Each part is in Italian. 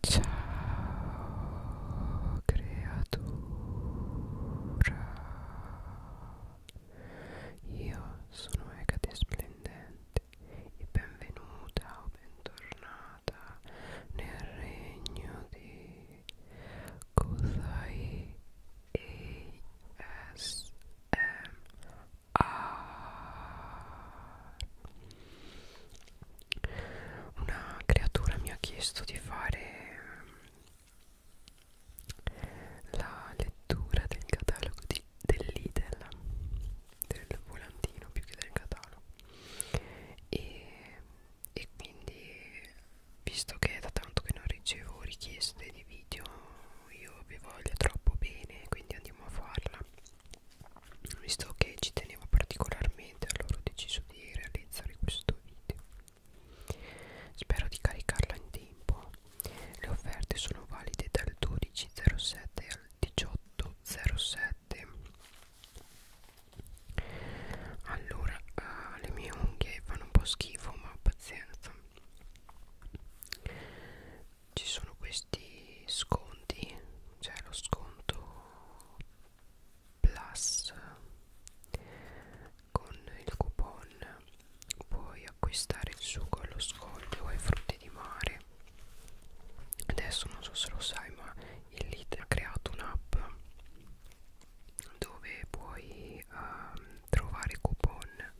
Ciao creatura, io sono Egate Splendente e benvenuta o bentornata nel regno di Kozai ASMR una creatura mi ha chiesto di fare mm, la lettura del catalogo di, dell'Idel del volantino più che del catalogo e, e quindi visto che è da tanto che non ricevo richieste di video io vi voglio troppo bene quindi andiamo a farla visto che ci tenevo particolarmente allora ho deciso di realizzare questo video spero di caricarla in tempo le offerte sono valide dal 12.07 al 18.07 allora uh, le mie unghie fanno un po' schifo ma pazienza ci sono questi sconti, cioè lo sconto Plus con il coupon puoi acquistare il sugo allo scoglio e frutti di mare adesso non so se lo sai ma il Lidl ha creato un'app dove puoi um, trovare coupon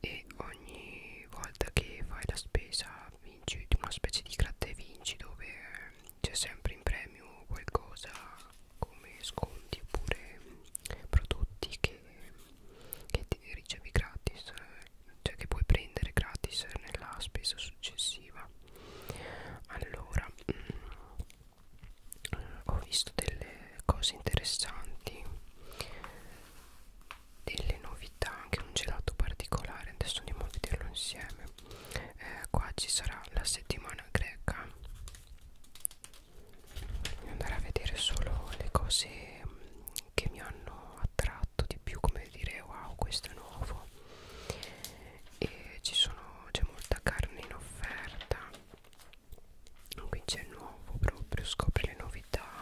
e ogni volta che fai la spesa vinci una specie di gratta e vinci dove c'è sempre in premio qualcosa come sconti oppure prodotti che, che ti ricevi gratis cioè che puoi prendere gratis nella spesa successiva allora mh, mm, ho visto delle cose interessanti delle novità anche un gelato particolare adesso andiamo a vederlo insieme eh, qua ci sarà la settimana greca voglio andare a vedere solo le cose mm, che mi hanno attratto di più come dire wow questo è nuovo e ci sono c'è molta carne in offerta qui c'è nuovo proprio scopri le novità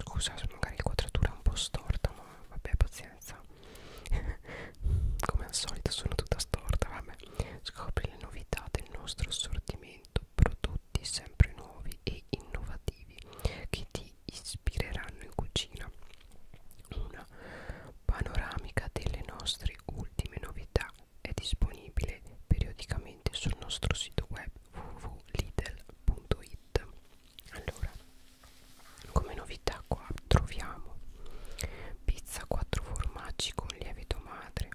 scusa se magari inquadratura è un po' storta ma vabbè pazienza come al solito sono tutta storta vabbè scopri le novità del nostro assortimento prodotti sempre nuovi e innovativi che ti ispireranno in cucina una panoramica delle nostre ultime novità è disponibile periodicamente sul nostro sito web www.lidl.it allora come novità qua troviamo pizza 4 formaggi con lievito madre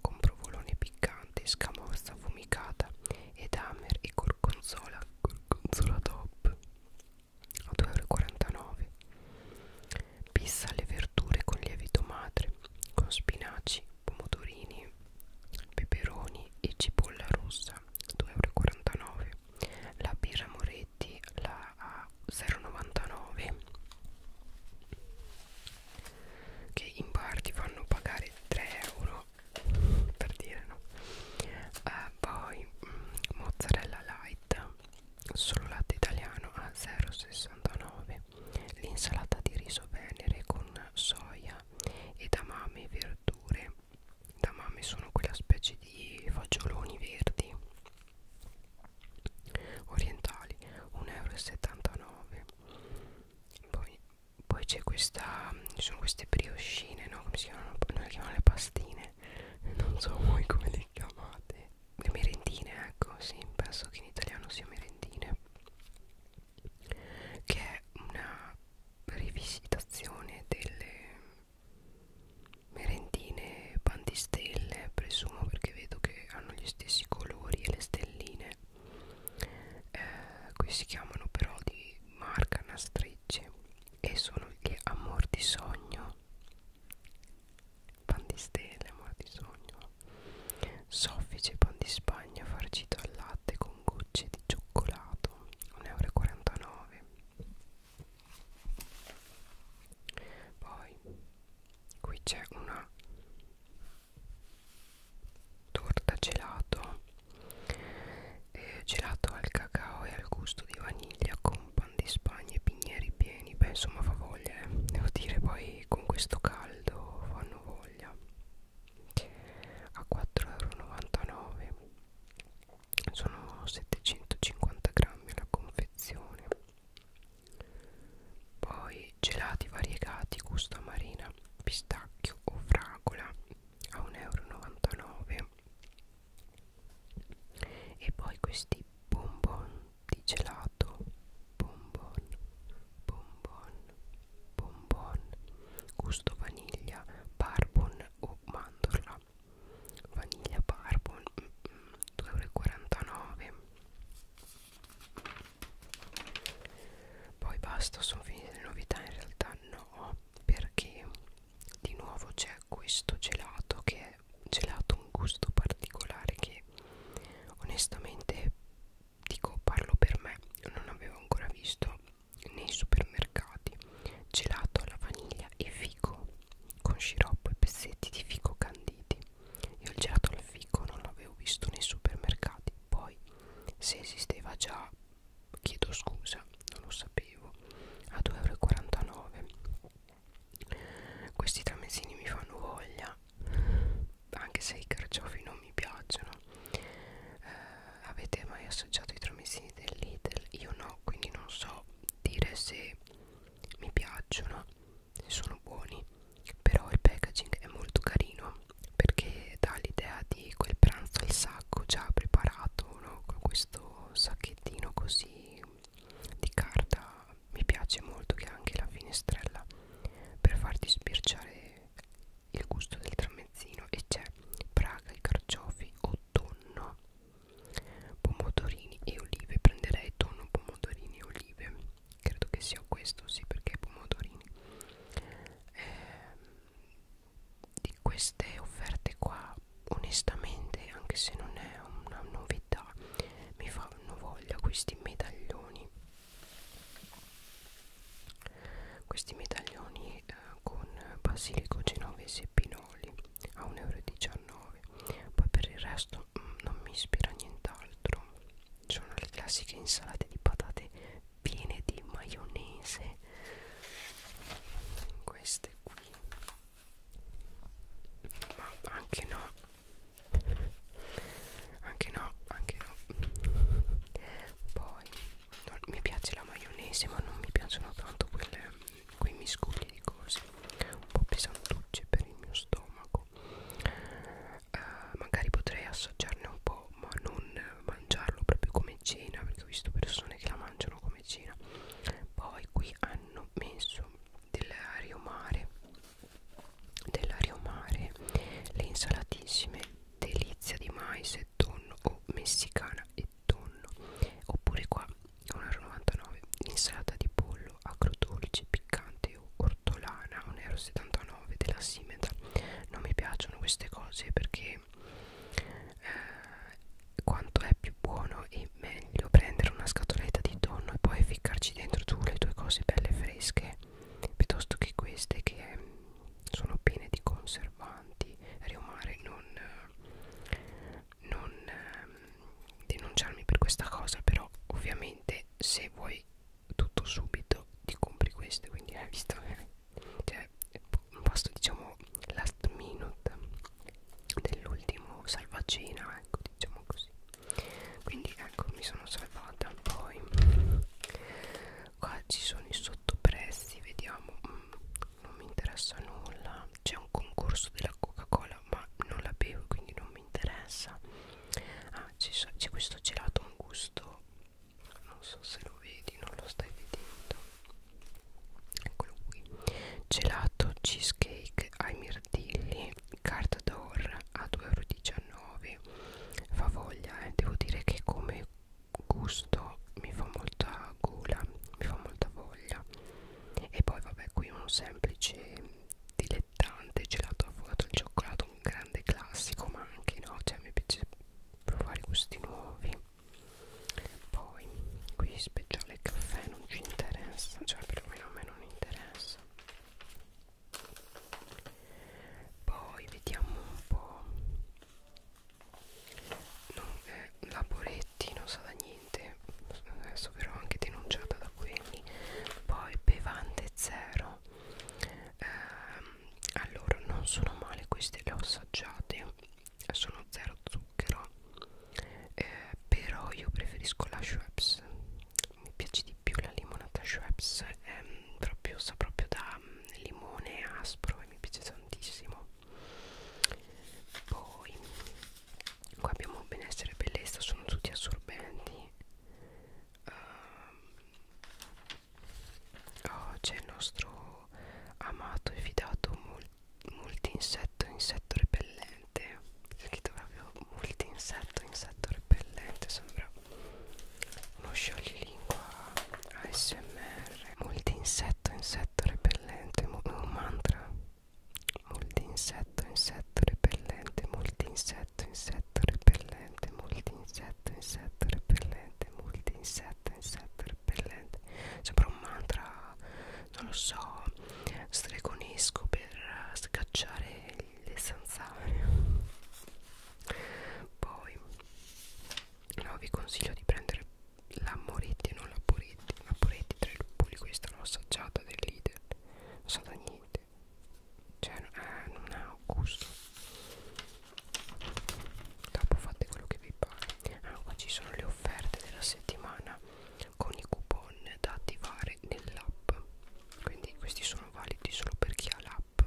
con provolone piccante scamorza affumicata ed hammer e gorgonzola gorgonzola top a 2,49 euro pizza alle verdure con lievito madre con spinaci, pomodorini, peperoni e cipolla rossa 2,49 euro la birra Moretti la a 0,99 che in parte fanno pagare 3 euro per dire no eh, poi mm, mozzarella light solo latte italiano a 0,69 l'insalata di riso venere con soia ed amame verdure Damame sono quella specie di fagioloni verdi orientali 1,79 euro poi, poi c'è questa ci sono queste brioscine no? come si chiamano? Noi le chiamano le pastine non so voi come le chiamate le merendine ecco sì penso che in italiano sia merendine che è una rivisitazione delle merendine pandistelle presumo perché vedo che hanno gli stessi colori e le stelline eh, qui si chiamano però di marca nastrecce e sono gli ammortisogno pandistelle ammortisogno soffice pan di spagna farcito al latte con gocce di cioccolato 1,49 euro poi qui c'è una torta gelato eh, gelato al cacao e al gusto di vaniglia con pan di spagna e pigneri pieni beh insomma fa voglia eh. devo dire poi con questo caldo fanno voglia a 4,99 euro sono 750 grammi la confezione poi gelati variegati gusto marina pistacchio o fragola a 1,99 euro e poi questi bonbon di gelato bonbon bonbon bonbon gusto vaniglia barbon o mandorla vaniglia barbon 2,49 mm, mm, euro poi basta sono finite le novità in realtà no perché di nuovo c'è questo gelato che è gelato un gusto particolare che onestamente dico parlo per me non avevo ancora visto nei supermercati gelato alla vaniglia e fico con sciroppo e pezzetti di fico canditi io il gelato al fico non l'avevo visto nei supermercati poi se esisteva già chiedo scusa non lo sapevo a 2,49 euro questi tramezzini mi fanno voglia anche se i carciofi non mi piacciono eh, avete mai assaggiato i tramezzini del Lidl? Io no, quindi non so dire se mi piacciono, se sono buoni, però il packaging è molto carino perché dà l'idea di quel pranzo al sacco già preparato, no? con questo sacchettino così di carta. Mi piace molto che ha anche la finestrella per farti sbirciare il gusto del tramezzino e c'è Praga, i carciofi o tonno, pomodorini e olive. Prenderei tonno, pomodorini e olive. Credo che sia questo, sì, perché pomodorini. Eh, di queste offerte qua, onestamente, anche se non è una novità, mi fanno voglia questi medaglioni questi medaglioni eh, con basilico, genovese e pinoli a 1,19 euro poi per il resto mh, mm, non mi ispira nient'altro sono le classiche insalate di patate piene di maionese queste qui ma anche no anche no anche no poi non, mi piace la maionese ma non mi piacciono tanto quelle, quei miscugli di cose un po' pesantucce per il mio stomaco uh, magari potrei assaggiarne un po' ma non mangiarlo proprio come cena perché ho visto persone che la mangiano come cena poi qui hanno messo dell'ario mare dell'ario mare le insalatissime delizia di mais e tonno o messicana e tonno oppure qua 1,99€ insalata di pollo agrodolce piccante o ortolana 1,79€ della simeta non mi piacciono queste cose perché eh, quanto è più buono e meglio prendere una scatoletta di tonno e poi ficcarci dentro tu le tue cose belle fresche piuttosto che queste che sono piene di conservanti riomare non, non ehm, denunciarmi per questa cosa però ovviamente se vuoi tutto subito ti compri queste quindi hai visto eh, cioè un posto diciamo last minute dell'ultimo salvacina ecco diciamo così quindi ecco mi sono salvata poi qua ci sono i sottoprezzi vediamo mm, non mi interessa nulla c'è un concorso della coca cola ma non la bevo quindi non mi interessa ah, c'è questo gelato un gusto non so se lo vedi non lo stai vedendo eccolo qui gelato cheesecake ai mirtilli carta d'or a 2,19 euro fa voglia eh. devo dire che come gusto mi fa molta gola mi fa molta voglia e poi vabbè qui un semplice dilettante gelato affogato al cioccolato un grande classico ma anche no cioè mi piace provare gusti nuovi poi qui speciale caffè non ci interessa cioè perlomeno a me non interessa poi vediamo un po' non, eh, la Boretti non sa da niente adesso verrò anche denunciata da quelli poi bevande zero eh, allora non sono male queste le ho assaggiate sono zero zucchero eh, però io preferisco la Schweppes mi piace di più la limonata Schweppes è ehm, proprio, sa proprio da mm, limone aspro e mi piace tantissimo poi qua abbiamo benessere e bellezza sono tutti assorbenti uh, oh, c'è il nostro amato e fidato multinsetto insetto repellente scritto proprio multinsetto insetto repellente sembra uno scioglilingua ASMR R molti insetto insetto repellente Mo un mantra molti insetto insetto repellente molti insetto insetto repellente molti insetto insetto repellente molti insetto insetto repellente sembra un mantra non lo so stregonesco per scacciare le zanzare poi no, vi consiglio di prendere la Moretti non la Poretti la Poretti tra i lupoli questa l'ho assaggiata del leader non sa da niente cioè eh, non ha gusto dopo fate quello che vi pare ah, qua ci sono le offerte della settimana con i coupon da attivare nell'app quindi questi sono validi solo per chi ha l'app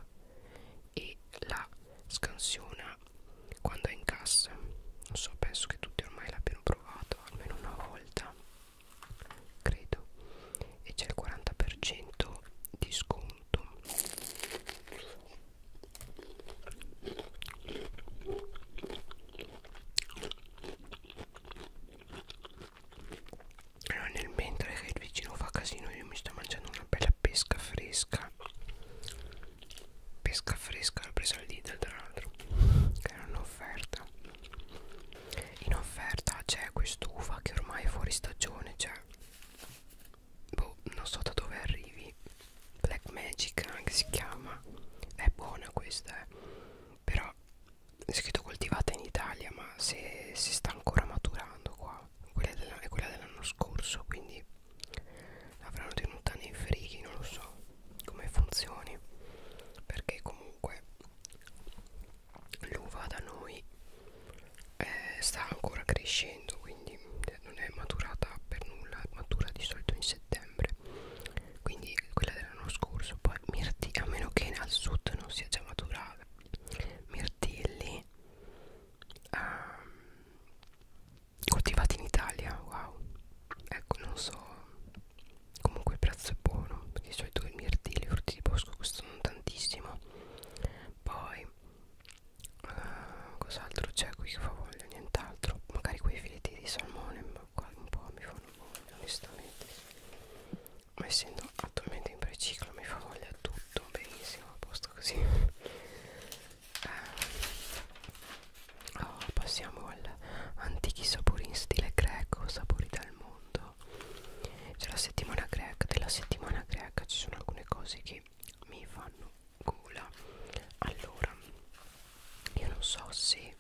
e la scansiona funziona quando è in cassa non so penso che tutti ormai l'abbiano provato almeno una volta credo e c'è il 40% di sconto allora, nel mentre che il vicino fa casino io mi sto mangiando una bella pesca fresca pesca fresca l'ho presa al Lidl tra l'altro che era un'offerta in offerta c'è quest'uva che ormai è fuori stagione cioè boh non so da dove arrivi Black Magic anche si chiama è buona questa eh. però è scritto coltivata in Italia ma se si sta ancora maturando qua quella dell'anno dell scorso quindi L'avranno tenuta nei frighi, non lo so come funzioni perché comunque l'uva da noi eh, sta ancora crescendo quindi eh, non è maturata per nulla matura di solito in settembre quindi quella dell'anno scorso poi mirtilli a meno che al sud non sia già maturata mirtilli um, coltivati in Italia wow ecco non so comunque il prezzo è buono perché di solito i mirtilli i frutti di bosco costano tantissimo poi uh, cos'altro c'è qui che fa voglia nient'altro magari quei filetti di salmone ma qua un po' mi fanno voglia onestamente ma essendo attualmente in preciclo mi fa voglia tutto benissimo a posto così eh, oh, passiamo al antichi sapori in stile greco sapori del mondo c'è la settimana greca della settimana greca ci sono alcune cose che mi fanno gola allora io non so se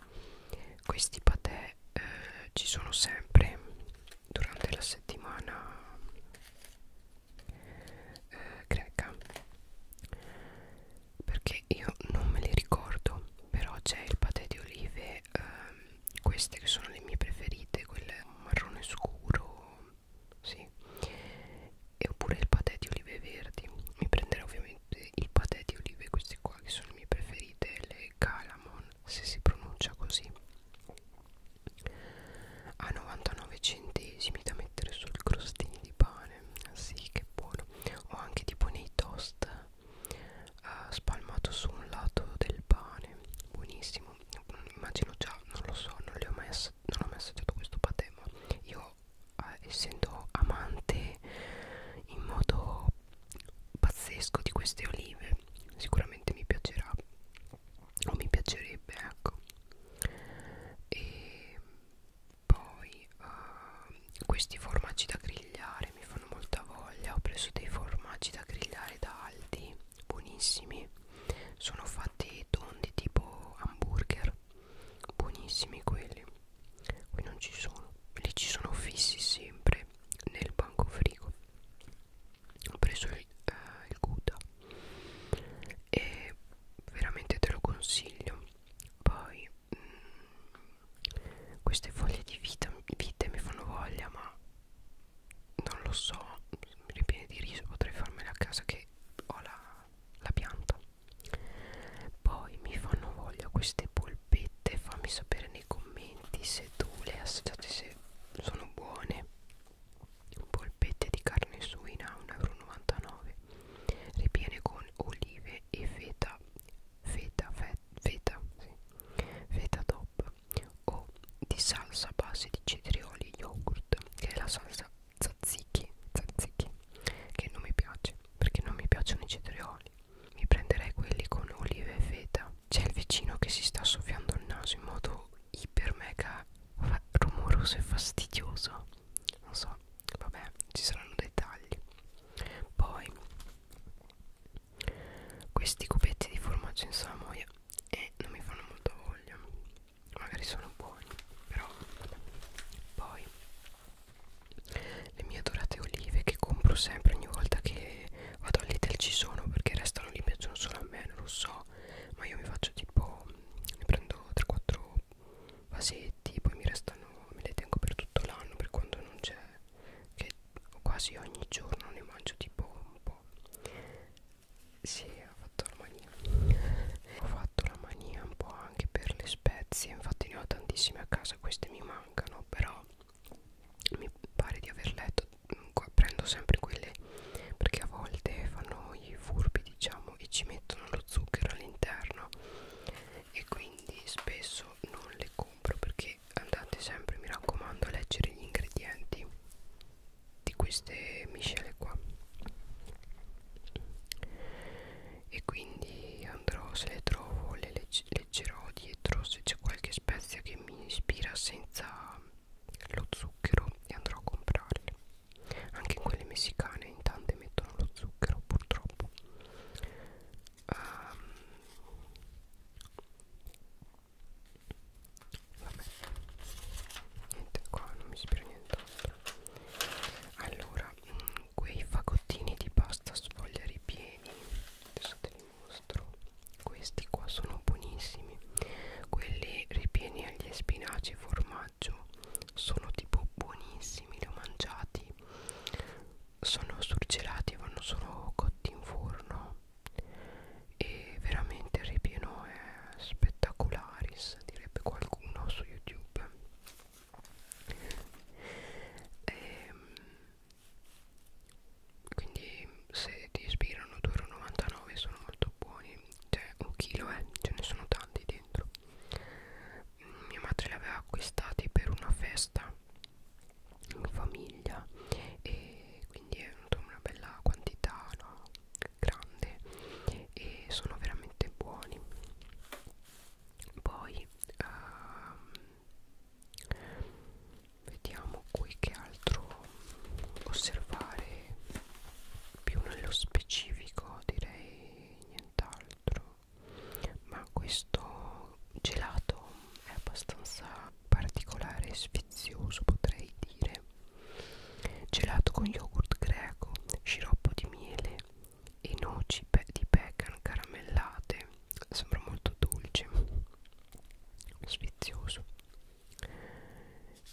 questi patè eh, ci sono sempre durante la settimana eh, greca perché io non me li ricordo però c'è il patè di olive ehm, queste che sono le mie preferite quelle marrone scuro sì e oppure il patè di olive verdi mi prenderò ovviamente il patè di olive queste qua che sono le mie preferite le calamon se si pronuncia così a 99 centesimi da mettere sul crostini di pane ah, sì che buono o anche tipo nei toast uh, spalmato su un lato del pane buonissimo immagino già non lo so non le ho messo non ho messo tutto questo patè ma io eh, essendo amante in modo pazzesco di queste olive sicuramente mi piacerà o mi piacerebbe ecco e poi uh, questi formaggi da grigliare mi fanno molta voglia ho preso dei formaggi da grigliare da Aldi buonissimi sono fatti tondi tipo hamburger buonissimi quelli qui non ci sono lì ci sono fissi sempre nel banco frigo ho preso il, eh, il Gouda e veramente te lo consiglio poi mh, mm, queste foglie di vita, vite mi fanno voglia ma non lo so mi ripiene di riso potrei farmela a casa che ho la, la pianta poi mi fanno voglia queste polpette fammi sapere nei commenti se tu le assaggiate se sono buone polpette di carne suina 1,99 ripiene con olive e feta feta feta feta, sì. feta top o di salsa a base di cetrioli e yogurt che è la salsa tzatziki, tzatziki che non mi piace perché non mi piacciono i cetrioli mi prenderei quelli con olive e feta c'è il vicino che si sta soffiando il naso in modo iper mega rumoroso e fastidioso non so vabbè ci saranno dettagli poi questi cubetti di formaggio in salamoia e eh, non mi fanno molto voglia magari sono buoni però vabbè. poi le mie dorate olive che compro sempre ogni volta che vado all'Ital ci sono perché restano lì piacciono solo a me non lo so ma io mi faccio tipo ne prendo 3-4 vasetti poi mi restano me le tengo per tutto l'anno per quando non c'è che quasi ogni giorno ne mangio tipo un po' si sì, ho fatto la mania ho fatto la mania un po' anche per le spezie infatti ne ho tantissime a casa queste mi mancano però mi pare di aver letto prendo sempre quelle perché a volte fanno i furbi diciamo diciamo e ci mettono lo zucchero all'interno e quindi spesso non le compro perché andate sempre mi raccomando a leggere gli ingredienti di queste miscele qua e quindi andrò se le trovo le legg leggerò dietro se c'è qualche spezia che mi ispira senza lo zucchero e andrò a comprarle anche in quelle messicane in tante mettono lo zucchero purtroppo um, vabbè niente qua non mi ispira nient'altro allora mh, mm, quei fagottini di pasta sfoglia ripieni adesso te li mostro questi qua sono buonissimi quelli ripieni agli spinaci formaggi formaggio sono tipo buonissimi li ho mangiati sono surgelati vanno solo cotti in forno e veramente il ripieno è spettacularis direbbe qualcuno su youtube e, ehm, quindi se ti ispirano 2,99 euro sono molto buoni cioè un chilo eh ce ne sono tanti dentro mm, mia madre li aveva acquistati per una festa in famiglia e quindi è una bella quantità no? grande e sono veramente buoni poi uh, vediamo qui che altro osservare più nello specifico direi nient'altro ma questo gelato è abbastanza particolare e sfizioso potrei dire gelato con yogurt greco sciroppo di miele e noci di pecan caramellate sembra molto dolce sfizioso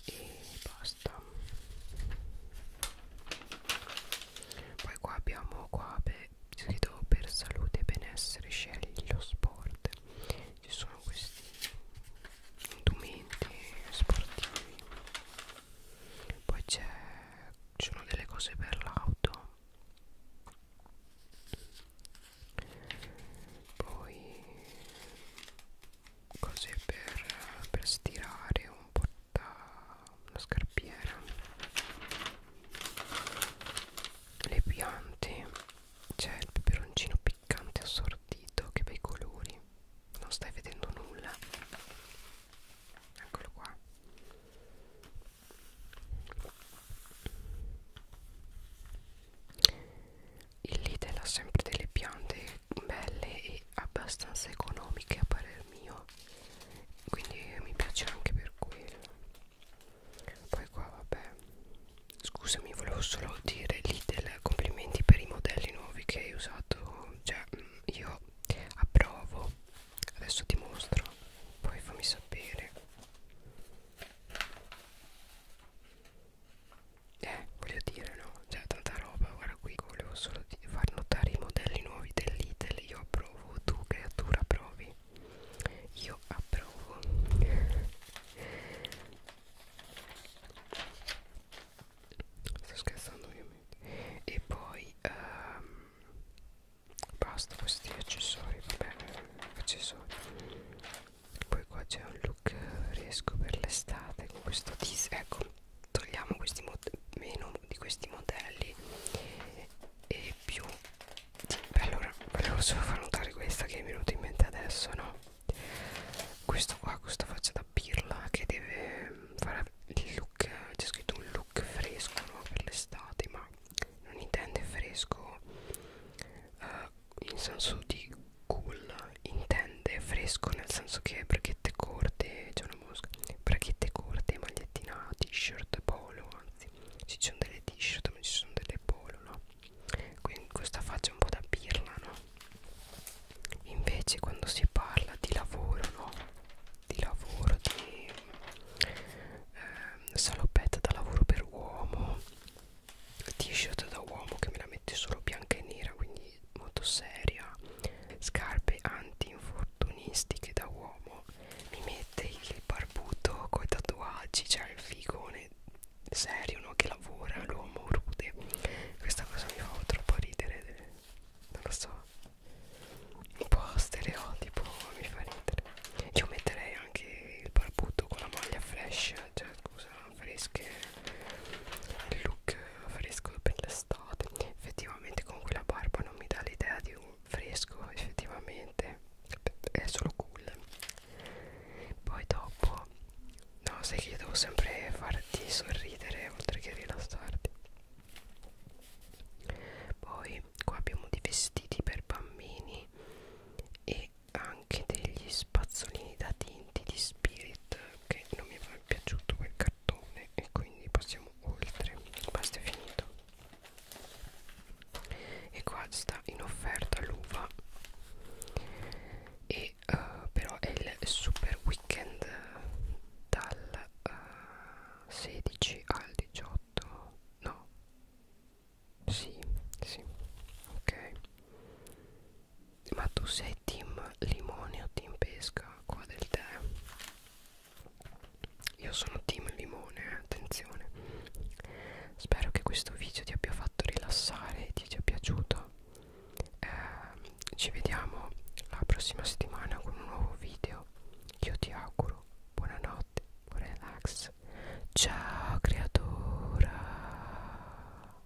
e basta poi qua abbiamo qua beh, scritto per salute e benessere scegli lo sport ci sono questi indumenti sportivi poi c'è ci sono delle cose per l'auto poi cose per, per stirare un porta una scarpiera le piante c'è il peperoncino piccante assortito che bei colori non stai vedendo nulla eccolo qua il Lidl ha sempre delle piante belle e abbastanza economiche a parer mio quindi mi piace anche per quello poi qua vabbè scusami volevo solo dire lì del complimenti per i modelli nuovi che hai usato cioè mm, io approvo adesso ti mostro poi fammi sapere eh voglio dire no c'è cioè, tanta roba guarda qui volevo solo far notare i modelli nuovi dell'Itel io approvo tu creatura approvi io approvo sto scherzando ovviamente e poi um, basta questi accessori vabbè accessori poi qua c'è un look riesco per l'estate con questo tease ecco togliamo questi meno di questi modelli e più Beh, allora volevo solo far notare questa che mi è venuta in mente adesso no questo qua questa faccia da pirla che deve mm, fare il look c'è scritto un look fresco no? per l'estate ma non intende fresco uh, in senso di cool intende fresco nel senso che bracchette corte c'è una mosca bracchette corte magliettina t-shirt polo anzi ci sono delle t-shirt ma ci sono delle polo no quindi questa faccia un po' da pirla no invece quando si parla di lavoro no di lavoro di eh, salopetta da lavoro per uomo t-shirt da uomo che me la mette solo bianca e nera quindi quindi molto seria scarpe anti-infortunistiche da uomo mi mette il barbuto coi tatuaggi cioè il figone serio no? che lavora l'uomo rude questa cosa mi fa troppo ridere non lo so un po' stereotipo mi fa ridere io metterei anche il barbuto con la maglia flash cioè scusa fresche il look fresco per l'estate effettivamente con quella barba non mi dà l'idea di un fresco effettivamente è solo cool poi dopo no sai che io devo sempre farti sorridere oltre che rilassarti poi qua abbiamo dei vestiti per bambini e anche degli spazzolini da tinta Elementi di Spirit che non mi è piaciuto quel cartone e quindi passiamo oltre basta è finito e qua sta in offerta l'uva e uh, però è il super weekend dal uh, eh, 16 al 18 no sì sì ok ma tu sei è team limone o team pesca qua del tè io sono team limone eh, attenzione spero che questo video ti abbia fatto rilassare e ti sia piaciuto eh, ci vediamo la prossima settimana con un nuovo video io ti auguro buonanotte buon relax ciao creatura